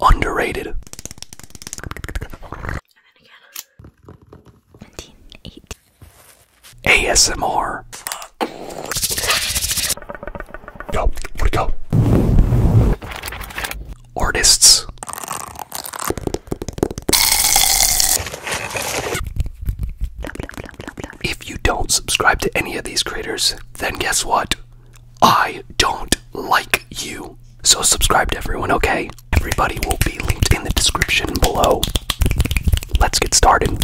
Underrated. ASMR. Go, go. Artists. If you don't subscribe to any of these creators, then guess what? I don't like you. So subscribe to everyone, okay? Everybody will be linked in the description below. Let's get started.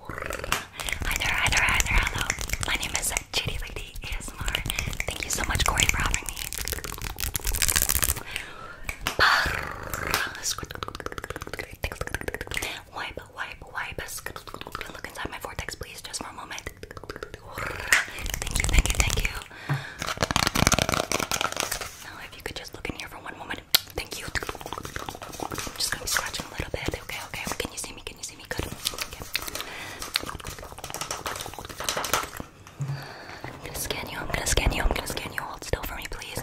Hi there, hi there, hi there, hello. My name is Chitty Lady ASMR. Thank you so much, Corey, for having me wipe, wipe. Look inside my vortex, please, just for a moment. Thank you, thank you, thank you. Now, if you could just look in here for one moment. Thank you. I'm just gonna be scratching a little bit. Okay, okay. Can you see me? Can you see me? Good. I'm gonna scan you. I'm gonna scan you. I'm gonna scan you. Hold still for me, please.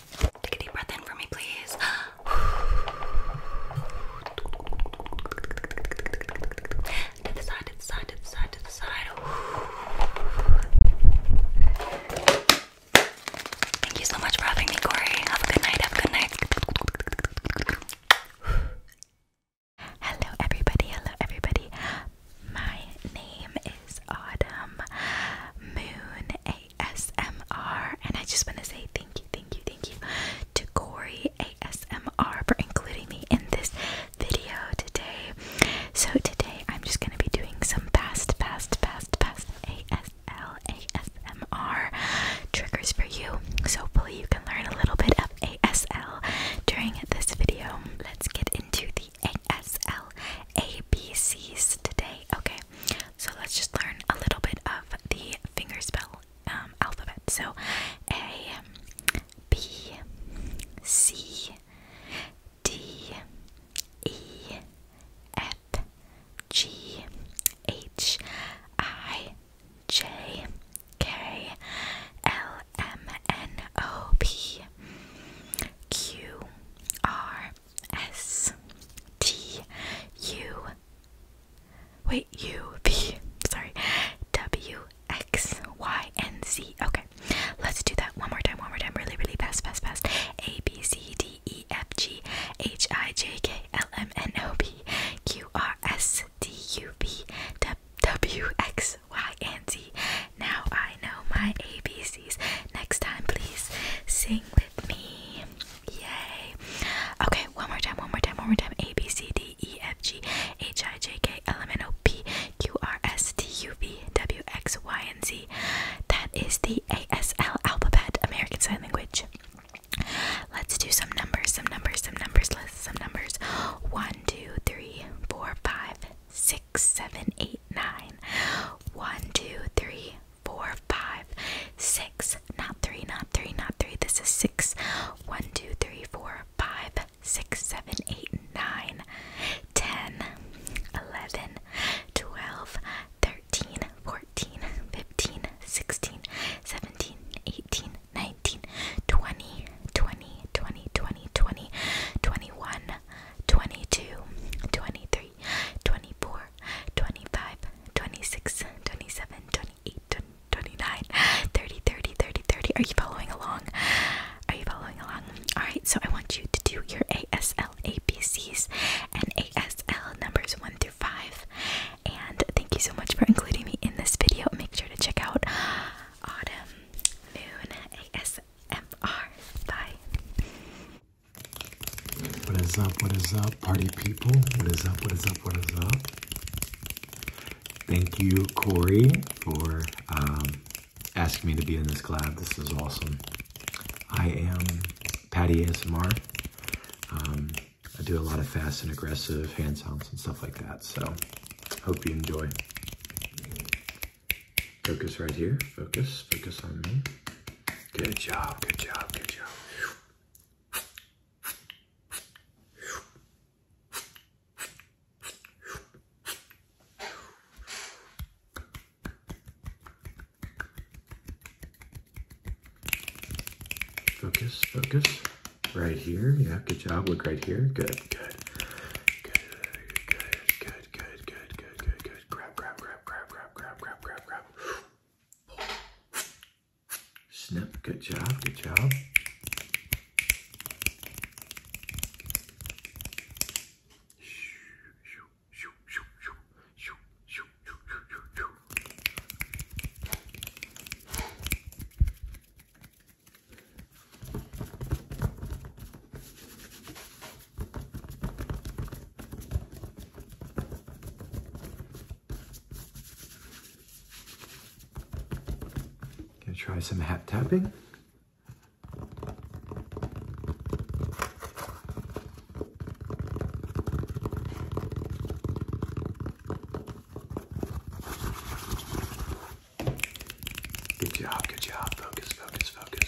Take a deep breath in for me, please. to the side, to the side, to the side, to the side. Thank you so much for having me, Corey. Have a good night, have a good night. Hello, everybody. Hello, everybody. My name is Autumn Moon ASMR. And I just want to say thank you, thank you, thank you to Corey ASMR for including me in this video today. So today I'm just going to be doing some fast, fast, fast, fast ASL, ASMR triggers for you. So hopefully you can learn a little bit of ASL during this video. Let's get into the the ASL today. Okay, so let's just learn a little bit of the finger spell um, alphabet. So A, B, C, D, E, F, G, H, I, J, K, L, M, N, O, P, Q, R, S T U Wait, U V sorry W X Y N Z. Okay. Let's do that one more time, one more time, really, really fast, fast, fast. A B C D E F G H I J K L M N O P Q R S D U V W X Y Now I know my ABCs. Next time, please sing with me. Yay. Okay, one more time, one more time, one more time. A, B, C, D, E, F, G, H, I, J, K, L, M, N, O, P, Q, R, S, T, U, V, W, X, Y, and Z. That is the ASL alphabet, American Sign Language. Let's do some numbers, some numbers, some numbers, let some numbers. 1, 2, 3, 4, 5, 6, 7, 8 eight, nine. One, two, three, four, five, six. Not three, not three, not three. This is six. One, two, three, four, five, six, seven, eight, nine, ten, eleven, twelve, thirteen, fourteen, fifteen, sixteen, seventeen, eighteen, nineteen, twenty, twenty, twenty, twenty, twenty, twenty-one, twenty-two, twenty-three. 23, 24, 25, 26, 27, 28, 29, 30, 30, 30, 30. Are you following along? Are you following along? Alright, so I want you to do your ASL ABCs and ASL numbers 1 through 5. And thank you so much for including me in this video. Make sure to check out Autumn Moon ASMR. Bye. What is up? What is up, party people? What is up? What is up? What is up? Thank you, Corey, for um, asking me to be in this collab. This is awesome. I am Patty ASMR. Um, I do a lot of fast and aggressive hand sounds and stuff like that. So, hope you enjoy. Focus right here. Focus. Focus on me. Good job. Good job. Good job. Focus, focus. Right here. Yeah, good job. Look right here. Good, good. Good, good, good, good, good, good, good, Good. Grab, grab, grab, grab, grab, grab, grab, grab, grab. Snip. Good job. Good job. Gonna try some hat tapping. Good job, good job. Focus, focus, focus.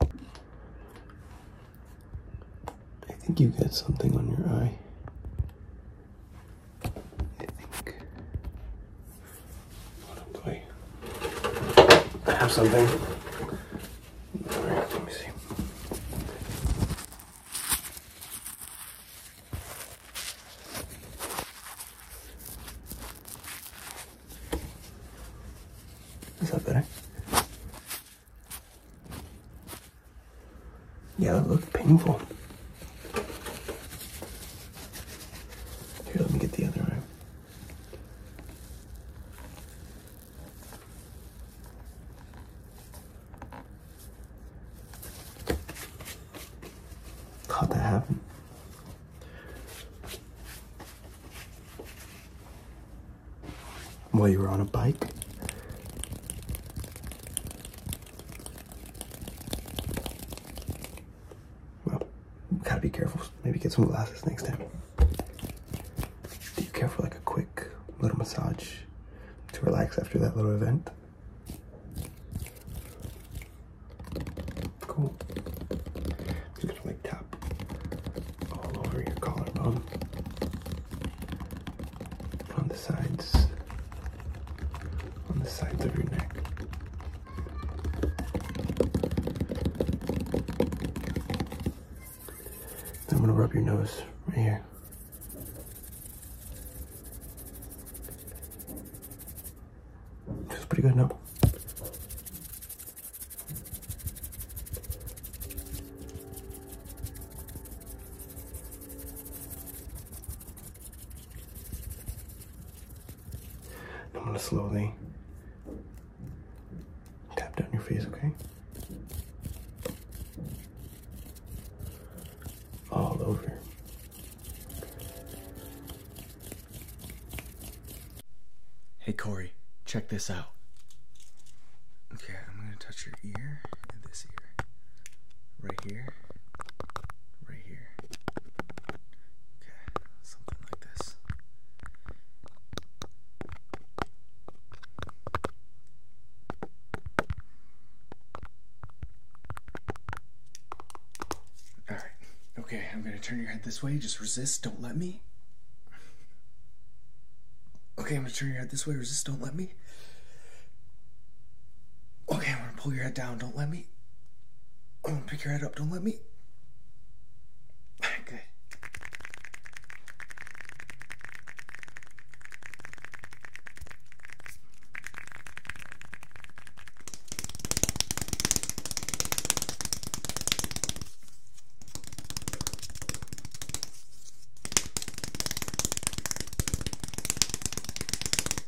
I think you got something on your eye. I think. What I have something. All right, let me see. Is that better? Yeah, that looks painful. Here, let me get the other arm. How'd that happen? While you were on a bike? Well, gotta be careful. Maybe get some glasses next time. Do you care for like a quick little massage to relax after that little event? Cool. I'm just gonna like tap all over your collarbone on the sides, on the sides of your neck. I'm gonna rub your nose right here. Feels pretty good, now. I'm going to slowly tap down your face, okay? All over. Hey Corey, check this out. Okay, I'm gonna touch your ear this ear. Right here. Right here. Okay, something like this. All right. Okay, I'm gonna turn your head this way. Just resist. Don't let me. Okay, I'm gonna turn your head this way. Resist. Don't let me. Okay, I'm gonna pull your head down. Don't let me. I'm gonna pick your head up. Don't let me. Good.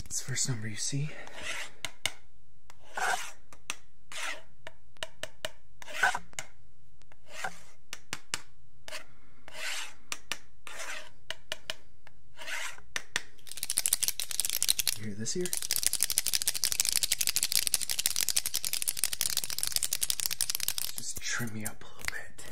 It's the first number you see. You hear this here? Just trim me up a little bit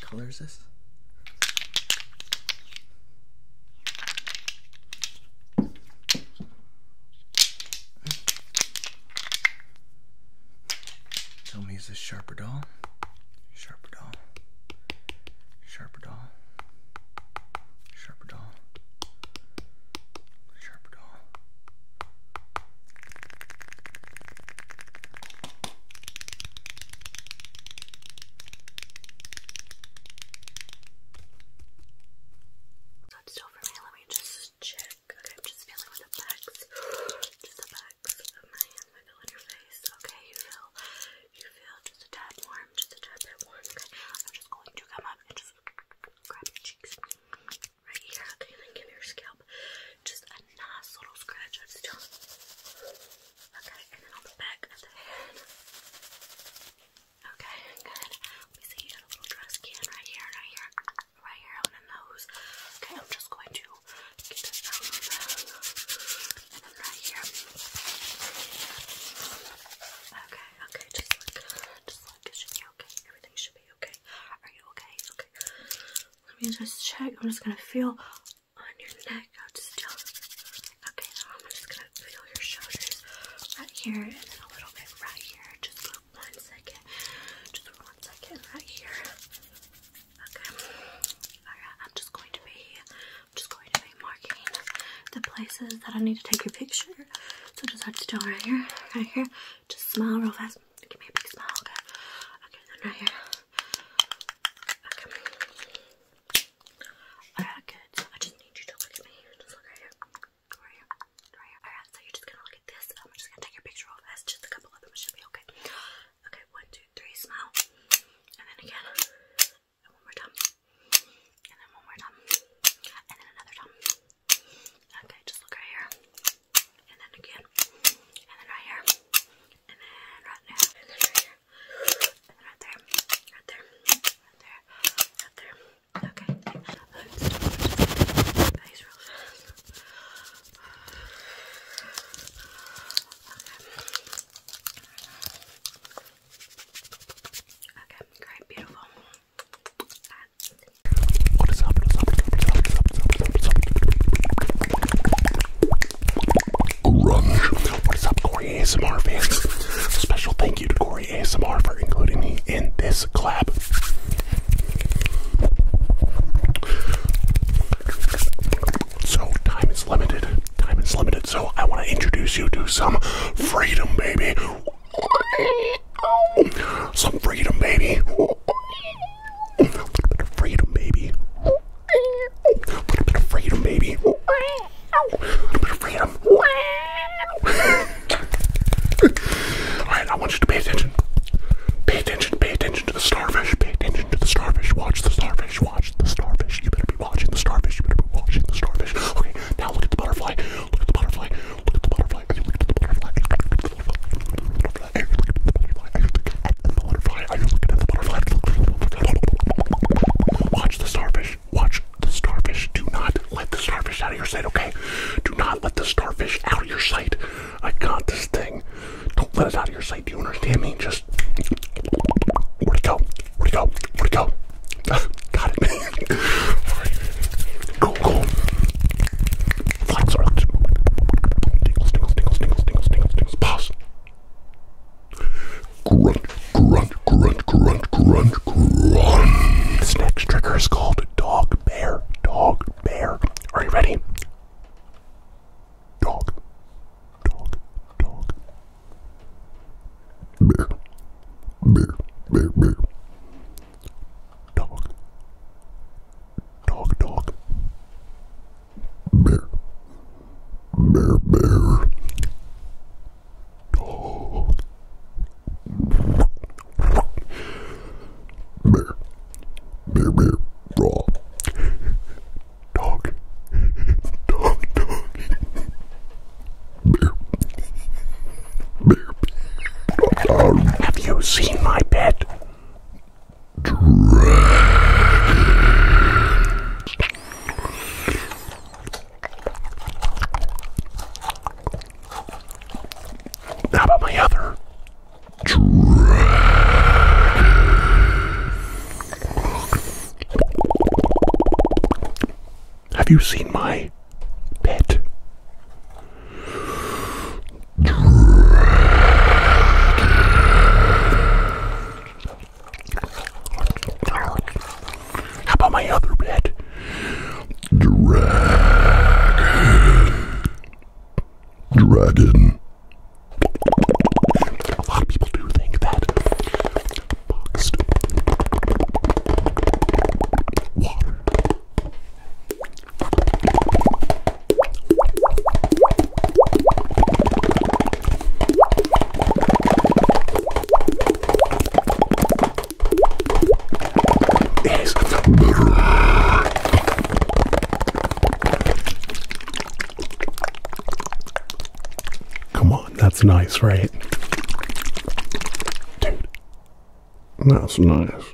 color is this? Tell me, is this sharper doll? Sharper doll. Sharper doll. Sharper doll. Sharper doll. So still for me. Let me just check. Okay, I'm just feeling with the backs. Just the backs of my hands. I feel on your face. Okay, you feel you feel just a tad warm, just a tad bit warm. Okay. I'm just going to come up and just grab your cheeks right here. Okay, then give your scalp just a nice little scratch. I'm okay, and then on the back of the head. Okay, good. Let see. You got a little dry skin right here, right here, right here on the nose. Okay, I'm just going to get this out of the and then right here. Okay, okay, just look, just look. It should be okay. Everything should be okay. Are you okay? Okay. Let me just check. I'm just gonna feel on your neck. I'll just tell. Okay, I'm just gonna feel your shoulders right here and then a little bit right here. Just for one second. Just for one second right here. Okay. Alright, I'm just going to be I'm just going to be marking the places that I need to take your picture. So just hold still right here. Right here. Just smile real fast. Give me a big smile, okay? then right here. Okay. good. I just need you to look at me. Just look right here. Right here. Right here. Alright, so you're just gonna look at this. I'm just gonna take your picture off. That's just a couple of them. should be okay. Okay, one, two, three, smile. And then again. And one more time. And then one more time. And then another time. Okay, just look right here and then again, and then right here, and then right there, and then right here, right there, right there, right there, right there. Okay, Okay. great, beautiful. What is up? What is up? What is up? What is up? What is up, Corey ASMR fans? Special thank you to Corey ASMR for including me in this collab. So time is limited. Time is limited. So I want to introduce you to some freedom, baby. Some freedom, baby. A little bit of freedom, baby. A little bit of freedom, baby. A little bit of freedom. Alright, I want you to pay attention. Pay attention, pay attention to the starfish, pay attention to the starfish, watch the starfish, watch the starfish. You better be watching the starfish, you better be watching the starfish. Okay, now look at the butterfly. Look at the butterfly. Watch the starfish. Watch the starfish. Do not let the starfish out of your sight, okay? Do not let the starfish out of your sight. I got this thing. Don't let it out of your sight. Do you understand me? Just where'd go? Where'd go? Where'd go? got it. All right. Cool, Tingles, tingles, tingles, This next trigger is called dog bear. Dog bear. Are you ready? Dog. Dog. Dog. Bear. Bear. Bear. Bear. Dog. Dog, dog. Bear. Bear, bear. Dog. Bear. Bear, bear. Raw. Dog. Dog, dog. Bear. Bear. Have you seen my bed? Dragons. How about my other? Have you seen my pet? How about my other bed? Dragon. Dragon. A lot of people do think that boxed water is better. Come on, that's nice, right? Dude, that's nice.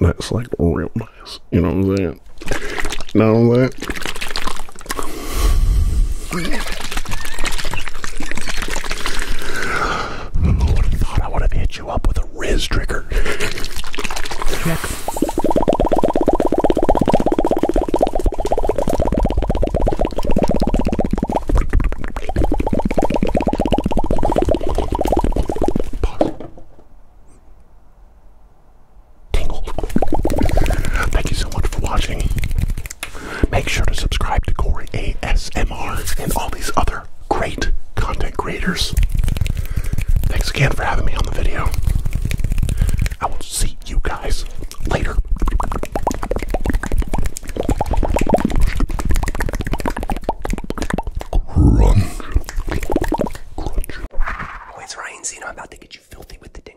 That's like real nice. You know what I'm saying? Know that. I would have thought I would have hit you up with a Riz trigger. Thank you so much for watching. Make sure to subscribe to Corey ASMR and all these other great content creators. Thanks again for having me on the video. I will see you guys later. Crunch. Crunch. Oh, it's Ryan Zeno. I'm about to get you filthy with the dingle.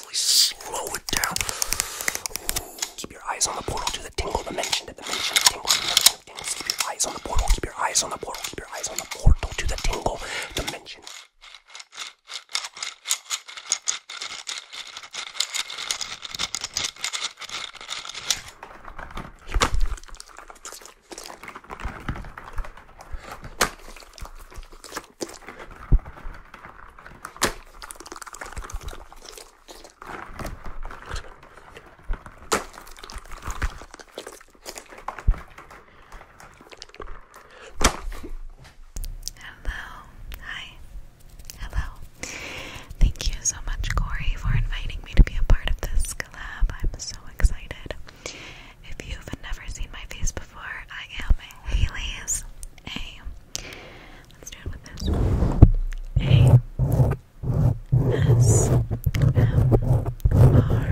slow it down. Keep your eyes on the portal to the tingle dimension, Keep your eyes on the portal, keep your eyes on the portal, keep your eyes on the portal to the tingle dimension. Hello. Hi. Hello. Thank you so much, Corey, for inviting me to be a part of this collab. I'm so excited. If you've never seen my face before, I am Haley's A a S M R.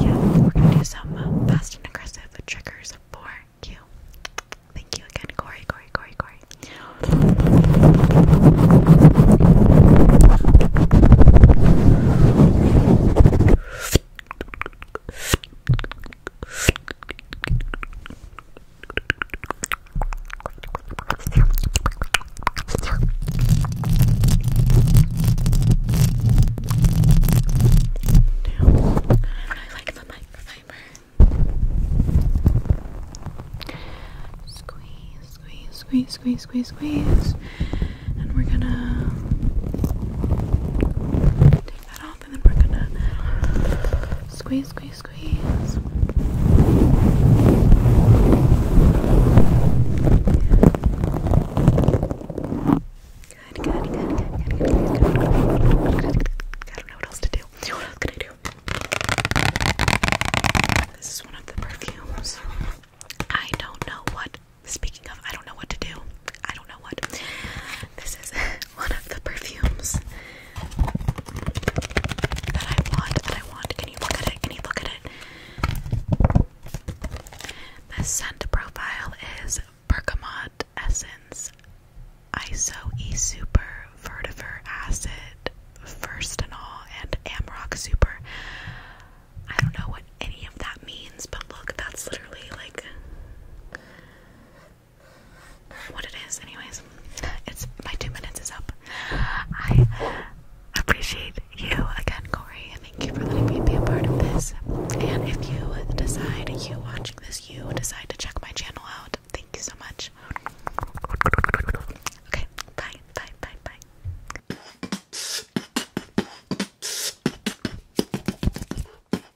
Yeah, we're gonna do some uh, fast and aggressive triggers for Q. Thank you again, Corey, Corey, Corey, Corey. I like the microfiber. Squeeze, squeeze, squeeze, squeeze, squeeze, squeeze. And we're gonna take that squeeze, squeeze, squeeze. I don't know what else to do? This is one of the perfumes. I don't know what. Speaking of, I don't know what to do. I don't know what. This is one of the perfumes that I want, that I want. Can you look at it? Can you look at it? The scent profile is Bergamot Essence, Iso E Super, Vertiver Acid, Firstenol, and Amrock Super. I don't know what any of that means, but look, that's literally like what it is, anyways. It's my two minutes is up. I appreciate you again, Corey. Thank you for letting me be a part of this. And if you decide you are watching this, you decide to check my channel out. Thank you so much. Okay, bye, bye, bye, bye.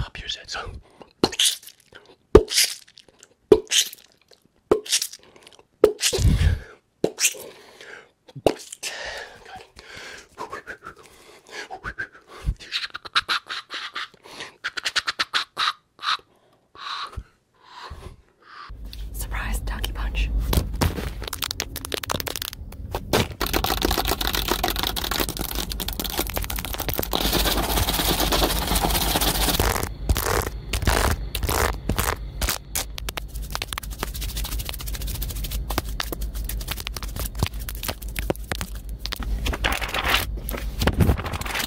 Pop your heads up. Surprise Donkey Punch.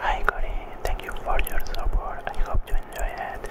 Hi Cory, thank you for your support. I hope you enjoy it.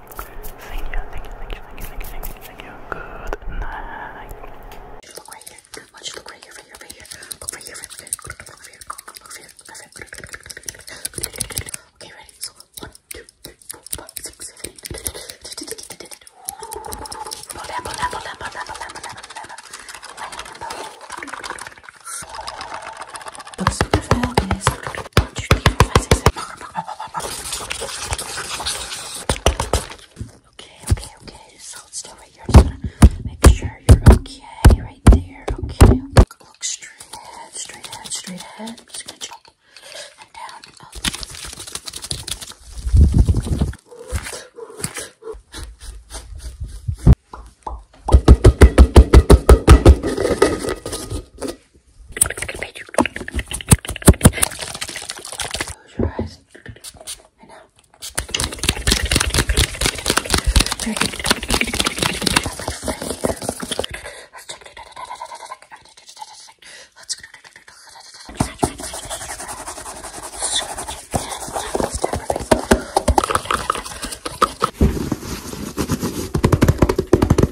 Thank you, thank you, thank you, thank you, thank you, thank you, Good night. Look right here. Watch, look right here, right here, right here. Look here, right here. Look here, look here, look here. Okay, ready? So, one, two, three, four, five, six, seven, eight. Lambo, lambo, lambo, lambo, lambo, lambo, lambo. Lambo. Okay, okay, okay. So it's still right here. I'm just gonna make sure you're okay right there. Okay. Look, look straight ahead, straight ahead, straight ahead. I'm just gonna jump and down and up. Okay, Close your eyes. I know. Very good. Let's check. Let's go. Let's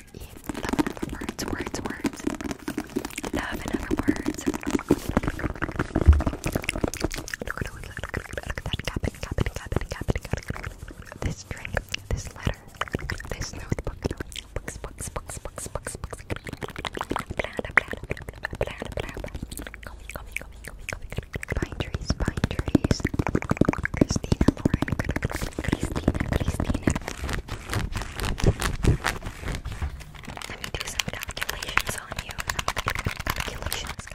Eat. Love words, words, words. Love and words. This drink, this letter, this notebook, Pine trees, pine trees. Cristina, Cristina, Let me do some calculations on you. Calculations,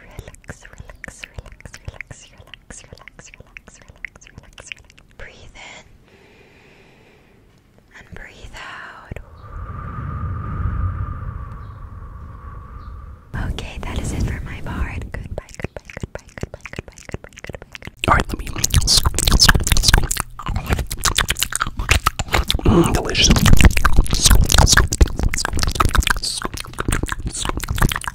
Relax, relax, relax, relax, relax, relax, relax, relax, relax, relax. Breathe in and breathe out. Okay, that is it for my part. Goodbye, goodbye, goodbye, goodbye, goodbye, goodbye, goodbye. goodbye. Alright, let me. Mm, delicious.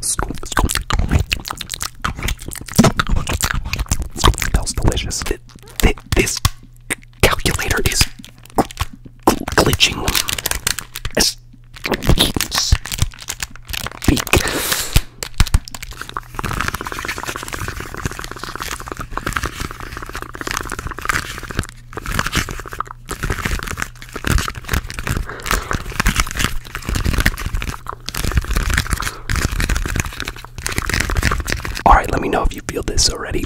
Smells delicious. This calculator is glitching speak. All right, let me know if you feel this already.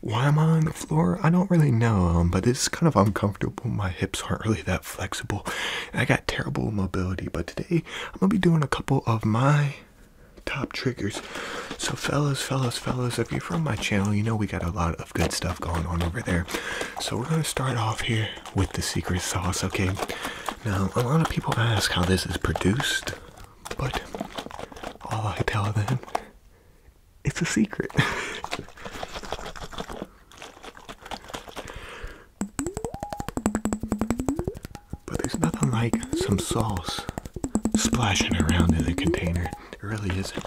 Why am I on the floor? I don't really know, um, but it's kind of uncomfortable. My hips aren't really that flexible. And I got terrible mobility, but today I'm gonna be doing a couple of my top triggers. So fellas, fellas, fellas, if you're from my channel, you know we got a lot of good stuff going on over there. So we're gonna start off here with the secret sauce, okay? Now, a lot of people ask how this is produced, but all I tell them, it's a secret. but there's nothing like some sauce splashing around in a container. It really isn't.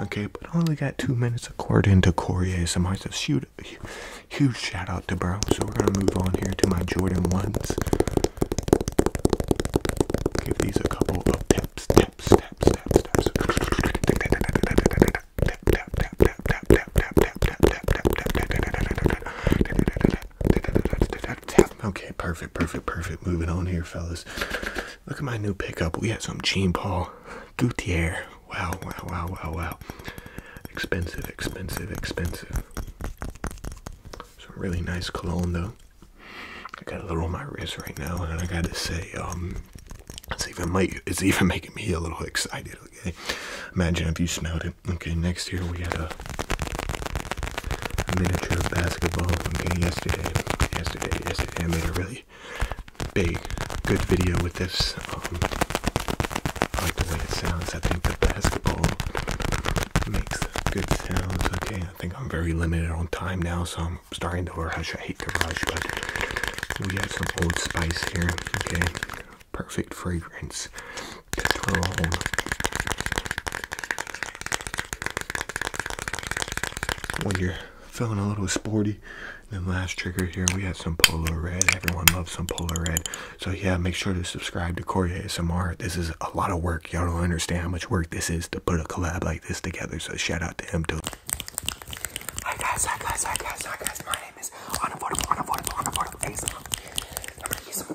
Okay, but I only got two minutes according to Corey ASMR, so shoot, Huge shout out to bro. So we're gonna move on here to my Jordan ones. Give these a couple of tips, tips, tips, tips, tips. Okay, perfect, perfect, perfect. Moving on here, fellas. Look at my new pickup. We had some Jean Paul Gaultier. Wow, wow, wow, wow, wow expensive, expensive, expensive. Some really nice cologne though. I got a little on my wrist right now, and I gotta say, um, it's even might it's even making me a little excited. Okay, imagine if you smelled it. Okay, next year we had a, miniature basketball. Okay, yesterday, yesterday, yesterday, I made a really big, good video with this. Um, I like the way it sounds. I think basketball makes good sounds. Okay, I think I'm very limited on time now, so I'm starting to rush. I hate to rush, but we have some Old Spice here. Okay, perfect fragrance When you're feeling a little sporty, then last trigger here we have some Polo Red. Everyone loves some Polo Red. So yeah, make sure to subscribe to Corey S M R. This is a lot of work. Y'all don't understand how much work this is to put a collab like this together. So shout out to him too. Hi guys, hi guys, hi guys, hi guys. My name is Unaffordable, Unaffordable, Unaffordable ASMR. I'm gonna use some